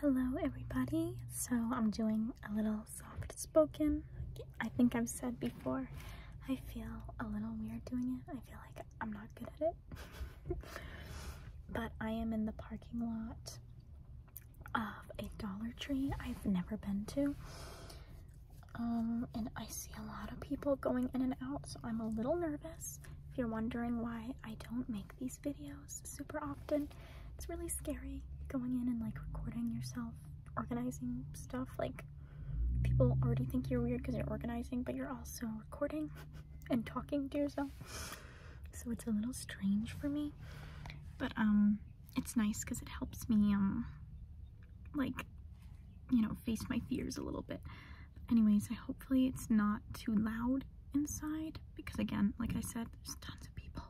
Hello, everybody. So, I'm doing a little soft spoken. I think I've said before, I feel a little weird doing it. I feel like I'm not good at it. but I am in the parking lot of a Dollar Tree I've never been to. Um, and I see a lot of people going in and out, so I'm a little nervous. If you're wondering why I don't make these videos, super often. It's really scary going in and like recording yourself, organizing stuff. Like people already think you're weird because you're organizing, but you're also recording and talking to yourself. So it's a little strange for me, but um, it's nice because it helps me um, like you know, face my fears a little bit anyways, I hopefully it's not too loud inside because again, like I said, there's tons of people.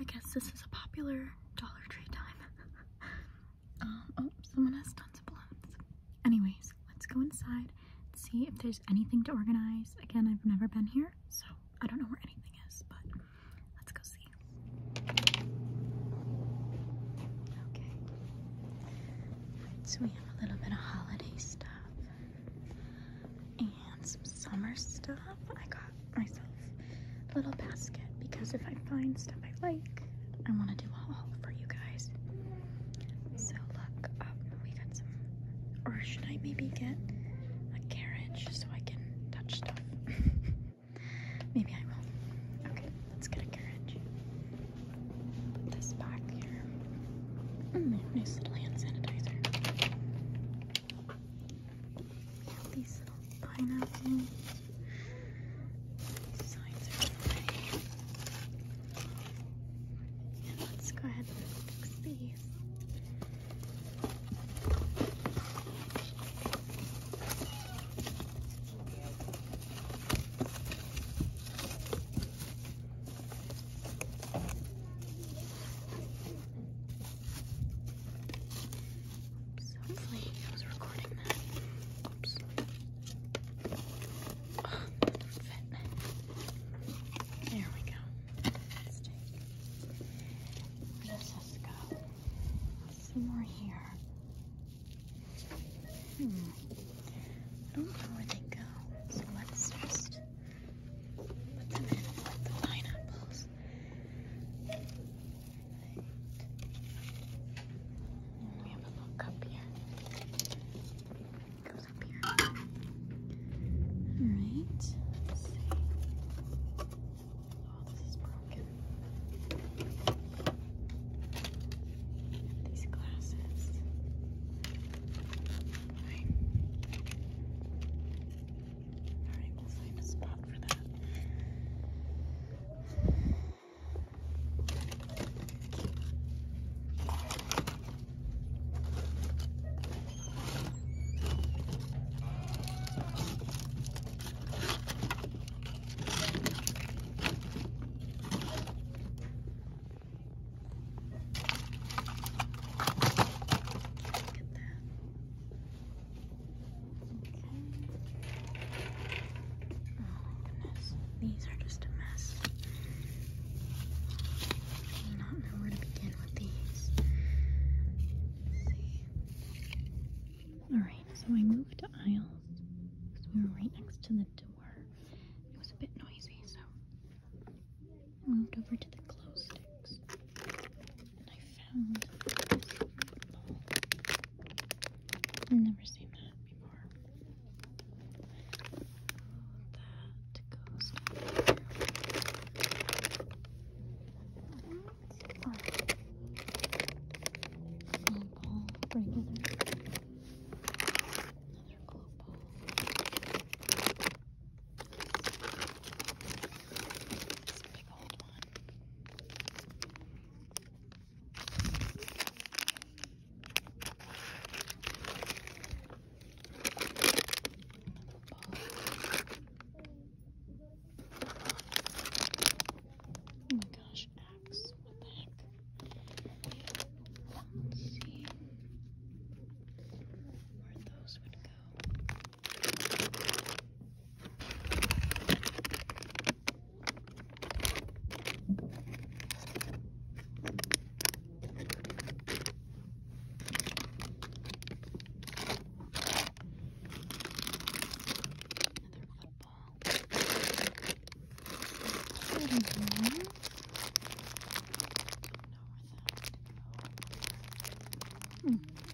I guess this is a popular Dollar Tree time. Um, oh, someone has tons of balloons. Anyways, let's go inside and see if there's anything to organize. Again, I've never been here, so I don't know where anything is, but let's go see. Okay. so we have a little bit of holiday stuff and some summer stuff. I got myself a little basket because if I find stuff I like, I want to do a haul for you guys. So look, um, we got some, or should I maybe get a carriage so I can touch stuff? maybe I will. Okay, let's get a carriage this back here. Mm, nice little hand sanitizer. These little pineapples. These signs are in the way. And let's go ahead and fix these. So hopefully I was recording that. Oops. Oh, there we go. This has got some more here. Hmm. I don't know where they go, so let's just put them in with the pineapples. Right. And we have a little cup here. It goes up here. Alright, let's see. Oh, this is broken these glasses. Fine. Alright, we'll find a spot for that these are just a mess. not know where to begin with these. Alright, so I moved to aisles because we were right next to the door. It was a bit noisy, so I moved over to the glow sticks. And I found this football. never seen that before. That goes down here. Football, Another opal. This big old one. Another ball. Oh my gosh, axe this. What the heck? Let's see where those would go. Another football.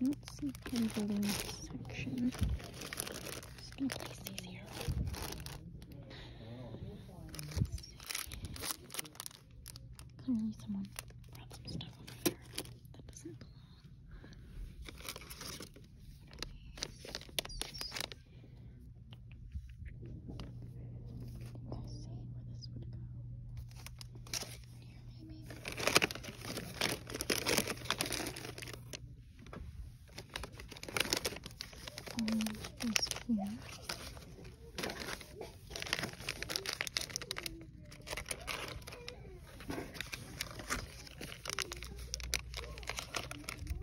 Let's see handling section. Just gonna place these here. Clearly someone brought some stuff over here that doesn't belong. I see where this would go. Here, maybe. Orange is here.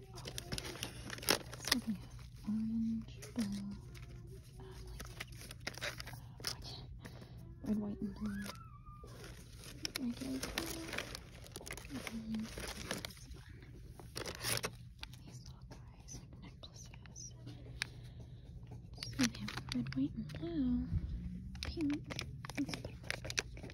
So we have orange, blue, um, like, uh, red, white, and blue. Regular blue. And then this one. These little guys, like necklaces. So we have red, white, and blue. Pink. Let's put them pink.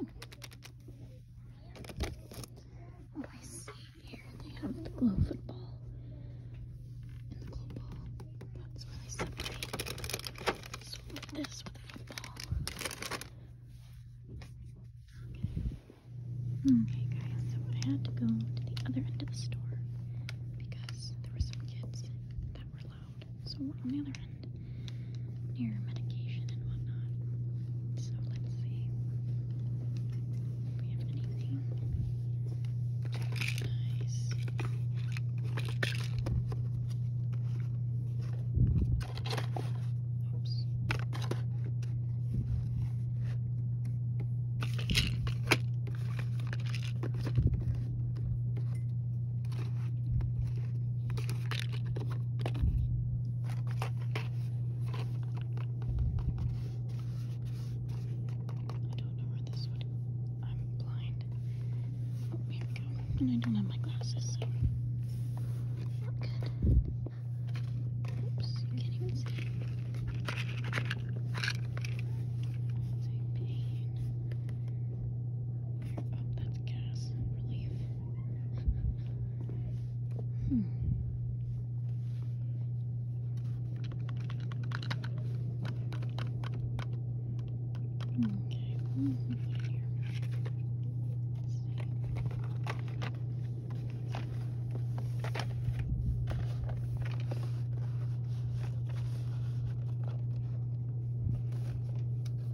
Oh, I see here they have the glow football Okay guys, so I had to go to the other end of the store because there were some kids that were loud. So we're on the other end near medication and whatnot. So let's see if we have anything nice. Oops. Okay. I don't know where this would. I'm blind. Oh, here we go. And I don't have my glasses, Not good. Oops, I can't even see. That's pain. Oh, that's gas relief. Hmm. Okay. Mm -hmm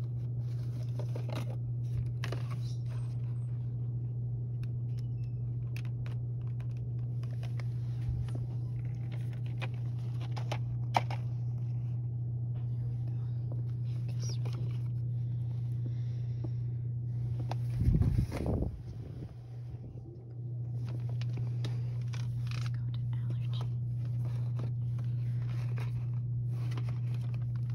allergy.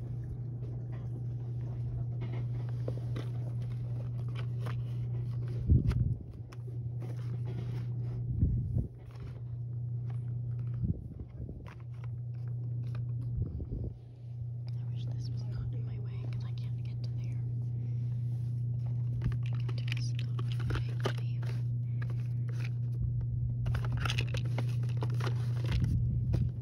I wish this was not in my way because I can't get to there. Just stop me. Thank you.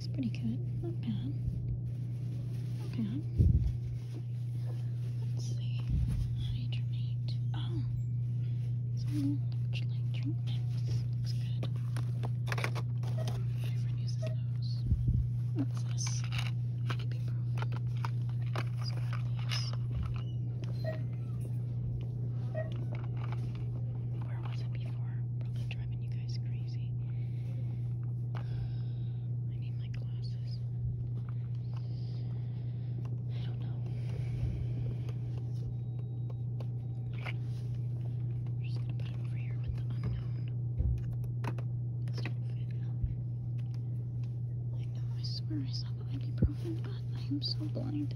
Looks pretty good. Not bad. Let's see. Hydronate. Oh. It's a little electrolyte Looks good. My friend uses those. Where was it before? Probably driving you guys crazy. Uh, I need my glasses. I don't know. We're just gonna put it over here with the unknown. It's not fit up. I know, I swear I saw the ibuprofen, but I am so blind.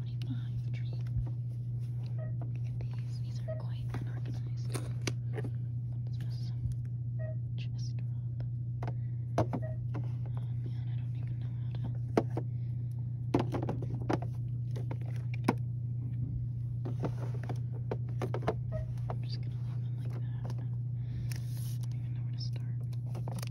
25 tree. these. These are quite unorganized. What is drop. man, I don't even know how to. I'm just gonna leave them like that. don't even know where to start.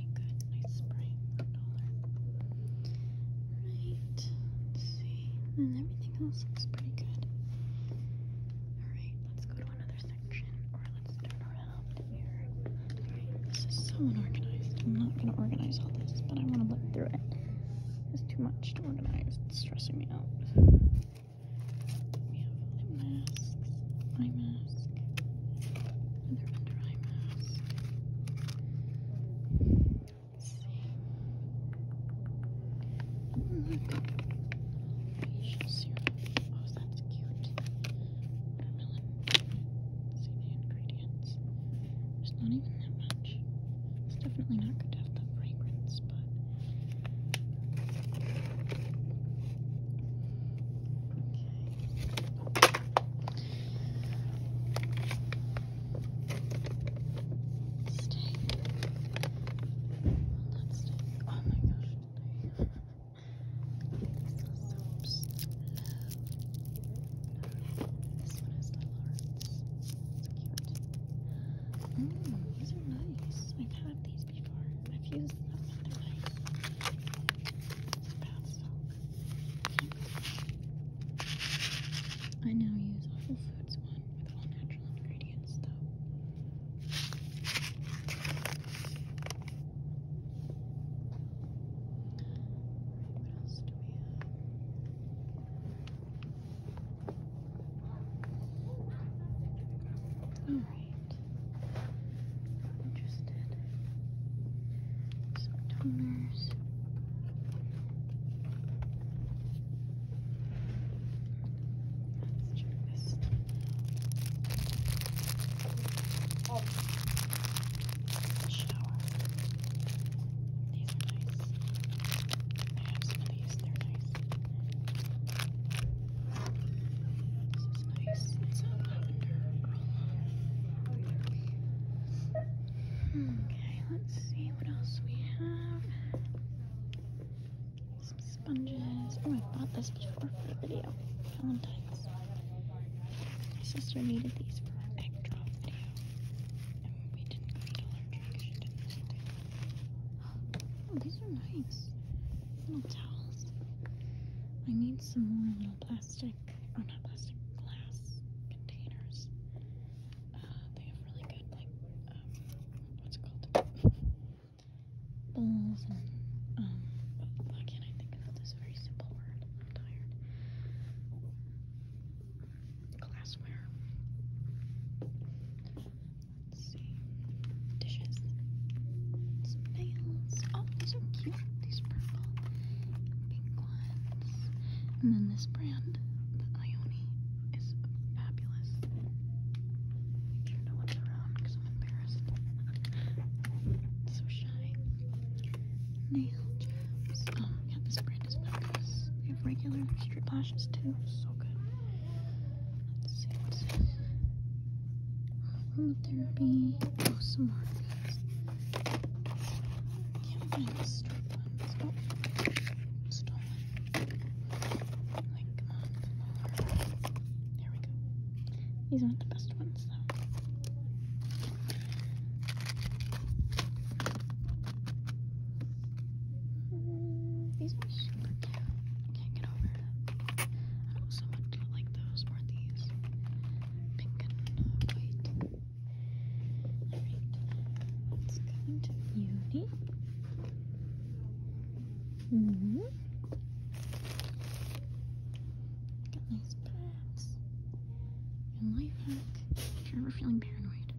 doing good. Nice spring dollar. Right. see. And everything else looks pretty good. Alright, let's go to another section. Or let's turn around here. this is so unorganized. I'm not gonna organize all this, but I wanna look through it. It's too much to organize. It's stressing me out. eye masks, eye mask, Another under eye mask. see. Oh, that's cute. See the ingredients. There's not even that much. It's definitely not good to have the fragrance, but. Okay. Stay. Let's stay. Oh my gosh. This is so little hearts. Mm, these are nice. I've had these before. I feel I now use Whole Foods one with all natural ingredients, though. what else do we have? Oh right. Not interested. Some toners. Let's check this. Oh, the shower. These are nice. I have some of these. They're nice. This is Okay, let's see what else we have. Some sponges. Oh, I bought this before for a video. Valentine's. My sister needed these for an egg drop video. And we didn't go to Dollar Tree Oh, these are nice. Little towels. I need some more plastic, or not plastic, glass containers. Uh, they have really good, like, um, what's it called? Bowls and, why um, can't I think of this very simple word? tired. Glassware. Let's see. Dishes some nails. Oh, these are cute. These purple and pink ones. And then this brand, the Ioni, is fabulous. Make sure no one's around because I'm embarrassed. so shy. Nail Oh, yeah, this brand is fabulous. They have regular strip lashes too. So good. Let's see aromatherapy. some more oh, um, There we go. These aren't the best ones, though. Hmm, these are super cute. can't get over it don't like those or these. Pink and white. Alright, let's go beauty. hmm. Got nice pads. And life hack. If you're ever feeling paranoid,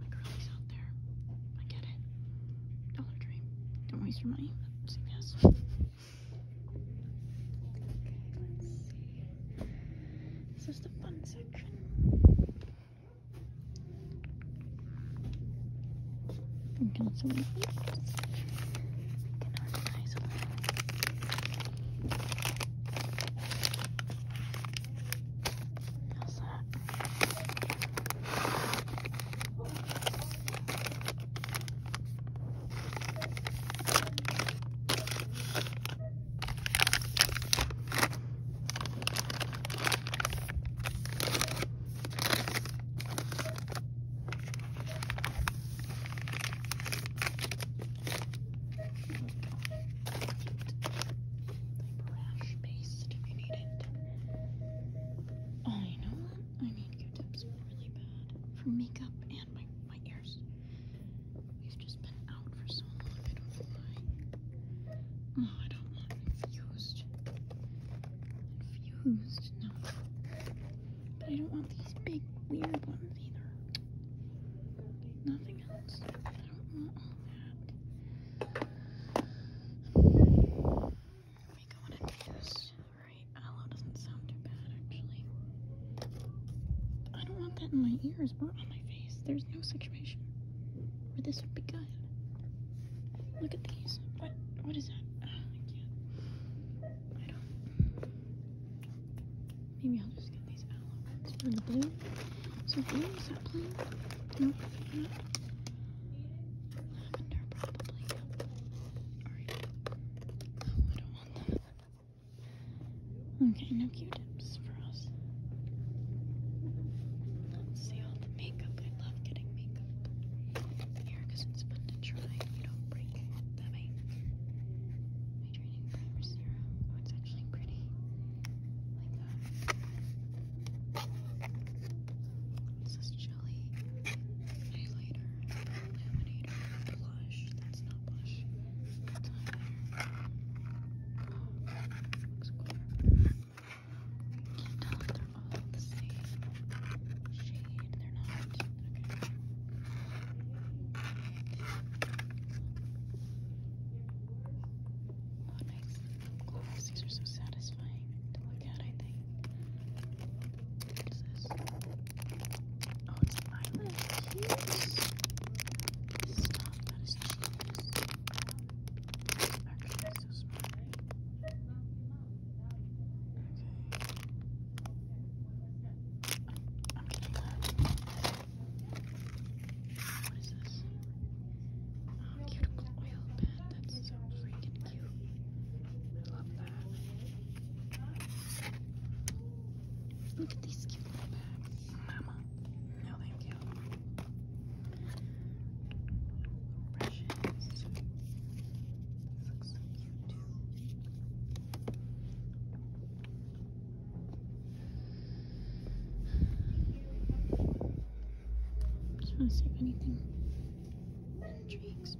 like girlies out there, I get it. Dollar Dream. Don't waste your money. Say yes. Okay, let's see. This is the fun section. We can also make this. We can organize a little. How's that? Okay, Brush paste if you need it. Oh, I know. I mean, tips really bad for makeup and my, my ears. We've just been out for so long, I don't know Oh, I don't want infused. Infused, no. But I don't want these big, weird ones either. Nothing else. I don't want all that. Alright, aloe doesn't sound too bad actually. I don't want that in my ears or on my face. There's no situation where this would be good. Look at these. What? What is that? Ah, I can't. I don't. Maybe I'll just get these aloe ones the blue. So blue is that blue? Nope. Lavender probably. I don't Okay, no Q-tips for us. see all the makeup. I love getting makeup here because it's fun to try. You don't break it. That way. Hydrating primer serum. Oh, it's actually pretty. Like that. This Jelly, highlighter, laminator, blush. That's not blush. That's Looks cool. Can't tell if they're all the same shade. They're not. Okay. Oh, nice lip These are so satisfying look at, What's this? Oh, it's violet cheese. Stop, that is cheese. so smart. Okay. i What is this? Oh, cuticle oil pen. That's so freaking cute. I love that. Look at these cute bags. Mama. No, thank you. Brushes. This looks so cute too. just want to see if anything intrigues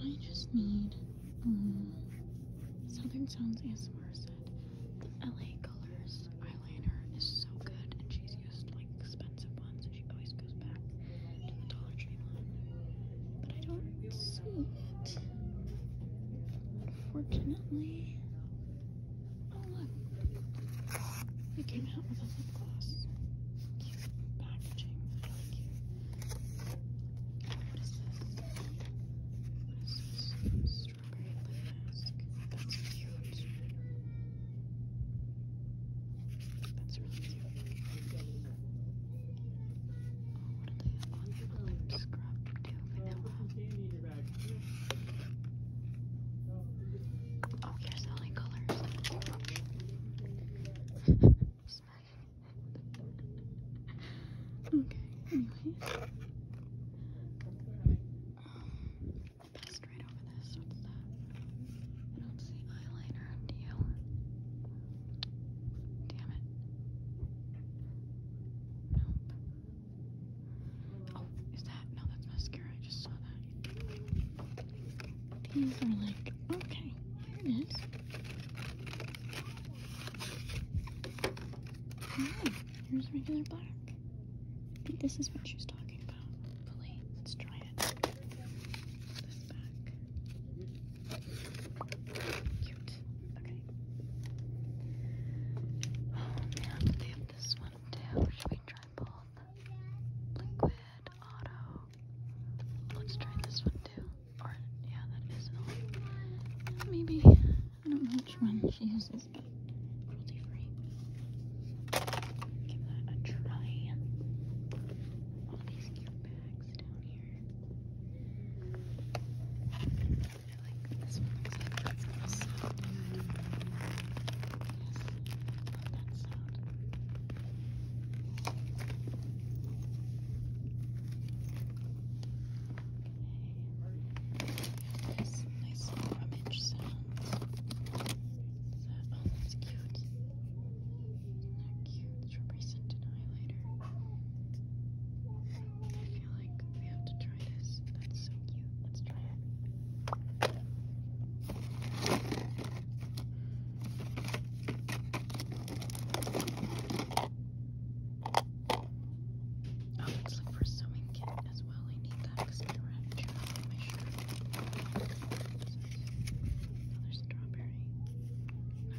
I just need Mm. Southern Sounds ASMR said the LA Colors eyeliner is so good, and she's used like expensive ones, and she always goes back to the Dollar Tree one. But I don't see it, unfortunately. Oh look, they came out with a lip gloss. Cute packaging, what is this? What is this? Strawberry play mask. That's cute. That's really cute. Oh, what are they on the lip scrub too? Vanilla. Oh, here's the only colors okay, anyway. Um, right over this. What's that? I don't see eyeliner Damn it. Nope. Oh, is that? No, that's mascara. I just saw that. These are like, okay, here it is. No, here's regular bark. this is what she was talking about. let's try it. Okay. Oh man, they have this one too. Should we try both? Liquid, auto. Let's try this one too yeah, that is Maybe I don't know which one she uses, but Give that a try. All these cute bags down here. I like this one looks like that's gonna Yes, love that sound. Okay. Some nice rummage sounds. That, oh, that's cute. Isn't that cute? It's represented highlighter. I feel like we have to try this. That's so cute. Let's try it. Oh, it's like for sewing kit as well. I need that because my wrench on my shirt. Another strawberry. No.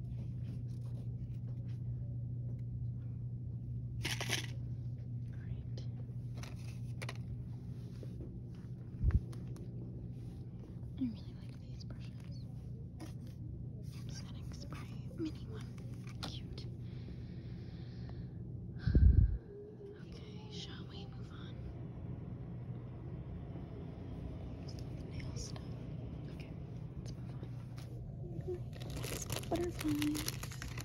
I really like these brushes. I'm setting spray mini one. Cute. Okay, shall we move on? Nail stuff. Okay, let's move on. Butterflies. Let's put them back. Okay,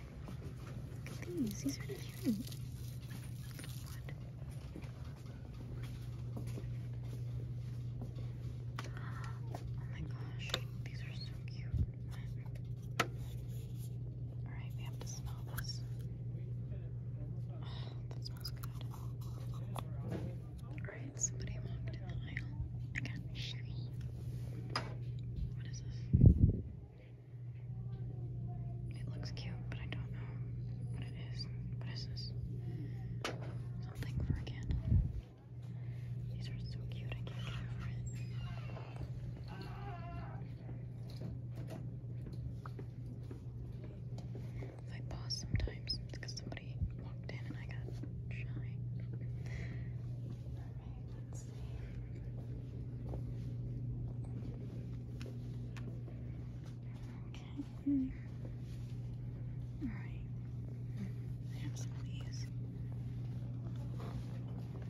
Look at these. These are Oh my gosh, these are so cute. Alright, we have to smell this. Oh, that smells good. Alright, somebody walked in the aisle. I got sherry. What is this? It looks cute, but I don't know what it is. What is this? Something for a candle. These are so cute, I can't get over it. I pause sometimes because somebody walked in and I got shy let's see. Okay. All right. I have some famous bubble You know what?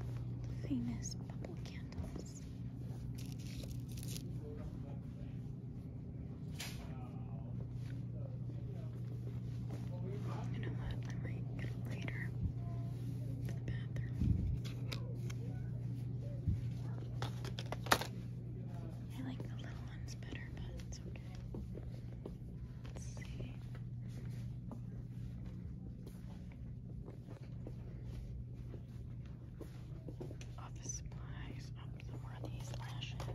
I might get later to the bathroom. I like the little ones better, but it's okay. Let's see. Office oh, supplies. Oh, some more of these lashes.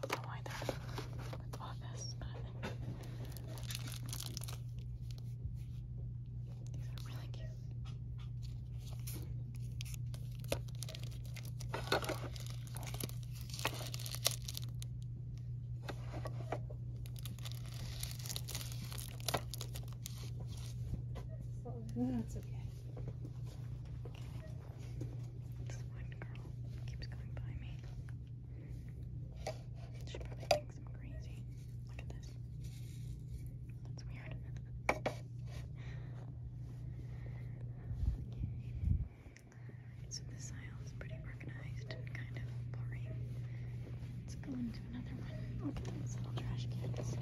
Don't know why they're with office, but these are really cute. That's okay. This one girl keeps going by me. She probably thinks I'm crazy. Look at this. That's weird. okay. Alright, so this aisle is pretty organized and kind of boring. Let's go into another one. Look at those little trash cans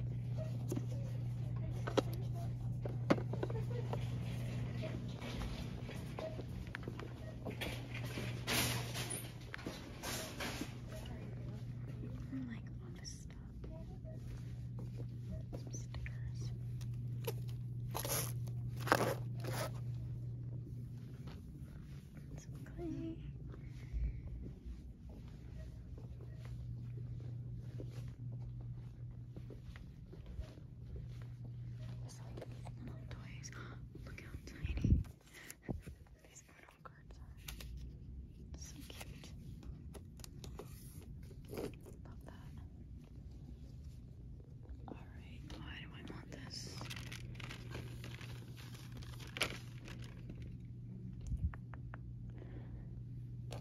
like office stuff. Some stickers. Some clay. It's like little toys. Look how tiny these photo cards are. So cute. Love that. Alright, why do I want this? What?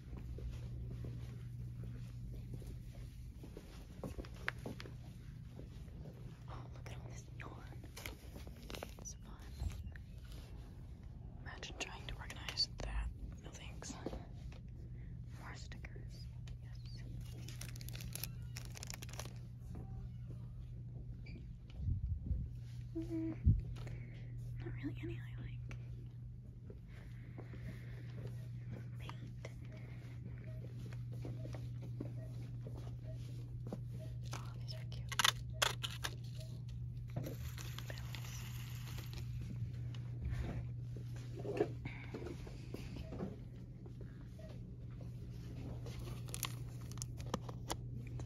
Oh, look Imagine trying to organize that. No thanks. More stickers. Yes. Hmm. not really any I paint. Oh, these are cute. Bells.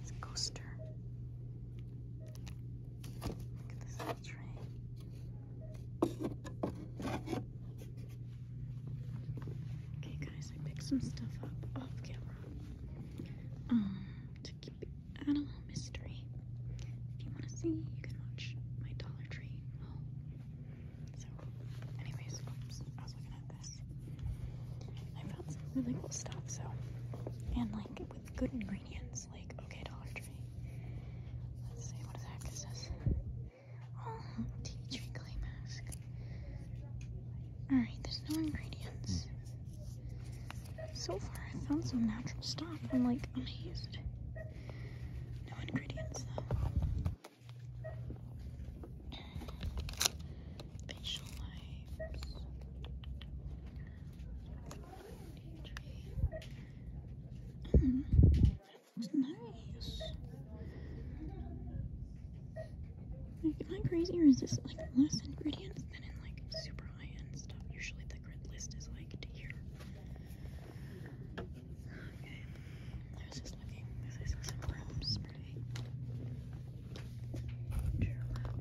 This coaster. Okay, guys, I picked some stuff up off camera um, to keep it out of mystery. If you want to see, you can watch my Dollar Tree haul. So, anyways, I was looking at this. I found some really cool stuff, so, and like with good ingredients okay, Dollar Tree. Let's see, what the heck is this? tea tree clay mask. Alright, there's no ingredients. So far, I found some natural stuff. I'm like amazed. No ingredients, though. Facial wipes. Mm, it's nice. Like, am I crazy or is this like less ingredients than in like super high end stuff? Usually the grid list is like here. Okay. I was just looking because I saw some room spray.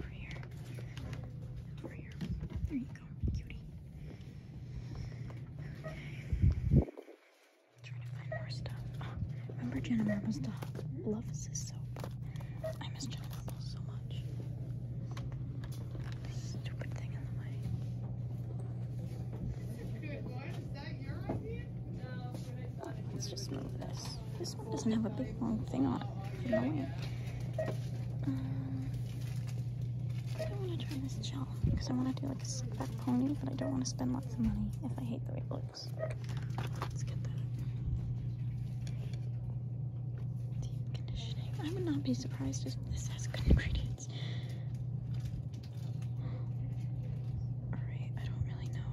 Over here. Over here. There you go, cutie. Trying to find more stuff. remember Jenna Marbles' dog loves this soap. I miss Jenna Marbles so much. stupid thing in the way. Good one. Is that your idea? Let's just move this. This one doesn't have a big long thing on it. Um, I don't want to try this gel because I want to do like a slick back pony, but I don't want to spend lots of money if I hate the way it looks. Deep conditioning. I would not be surprised if this has good ingredients. Alright, I don't really know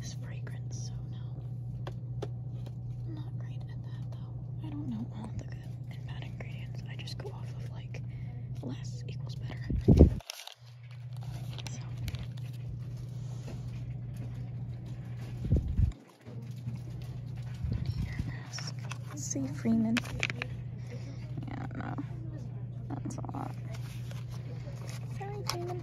this fragrance, so no. i not great at that though. I don't know all the good and bad ingredients. I just go off of like less equals better. So. Here, ask Freeman. Yeah, no. That's a lot. Sorry, Freeman.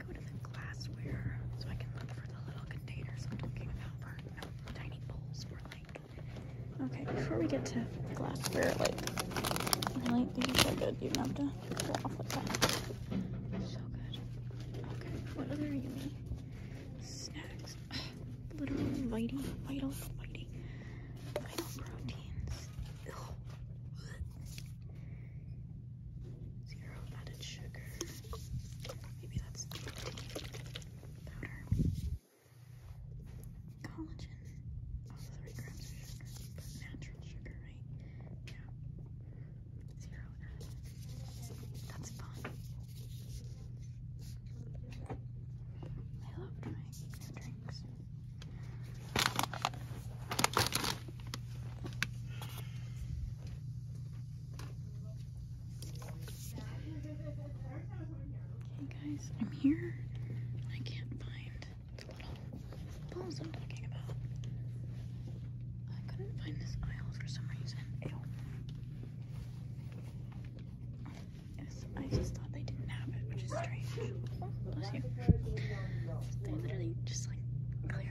go to the glassware so I can look for the little containers I'm talking about um, tiny bowls for like. Okay, before we get to glassware, like, really, these are so good. You don't have to pull off like that. So good. Okay, what other yummy snacks? literally vital, vital, vital, vital proteins. Ew. Zero added sugar. Maybe that's the powder. Collagen. Oh, three grams of sugar. But natural sugar, right? Yeah. Zero added. That's fun. I love trying new drinks. Okay guys, I'm here. I can't find the little balls I'm talking about. I couldn't find this aisle for some reason. I just thought they didn't have it, which is strange. They literally just like cleared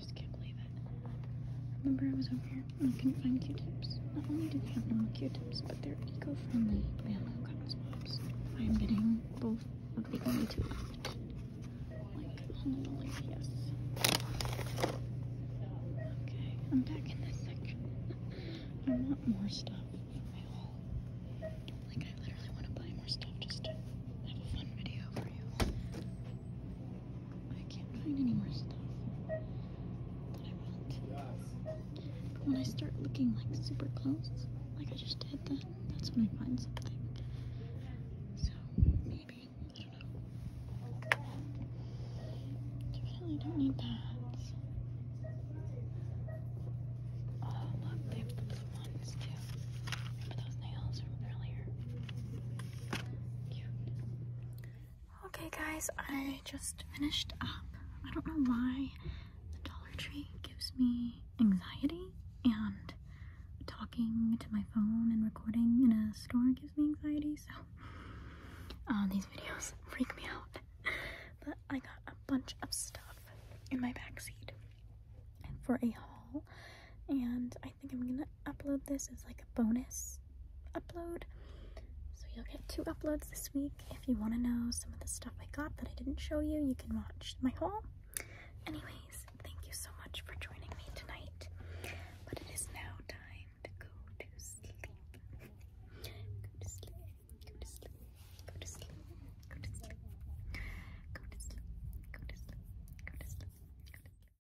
I just can't believe it. Remember I was over here I couldn't find Q-tips? Not only do they have normal Q-tips, but they're eco-friendly Bama Cotton Swabs. I am getting both of the only two left. Like, holy yes. Okay, I'm back in this section. I want more stuff for my haul. Like, I literally want to buy more stuff just have a fun video for you. I can't find any more stuff that I want. When I start looking like super close, like I just did, then that's when I find something. So maybe I don't know. Definitely don't need that. Okay guys, I just finished up. I don't know why the Dollar Tree gives me anxiety and talking to my phone and recording in a store gives me anxiety, so uh, these videos freak me out. But I got a bunch of stuff in my backseat for a haul and I I think I'm gonna upload this as like a bonus upload. So you'll get two uploads this week. If you want to know some of the stuff I got that I didn't show you, you can watch my haul. Anyways, thank you so much for joining me tonight. But it is now time to go to sleep. Go to sleep. Go to sleep. Go to sleep. Go to sleep. Go to sleep. Go to sleep. Go to sleep.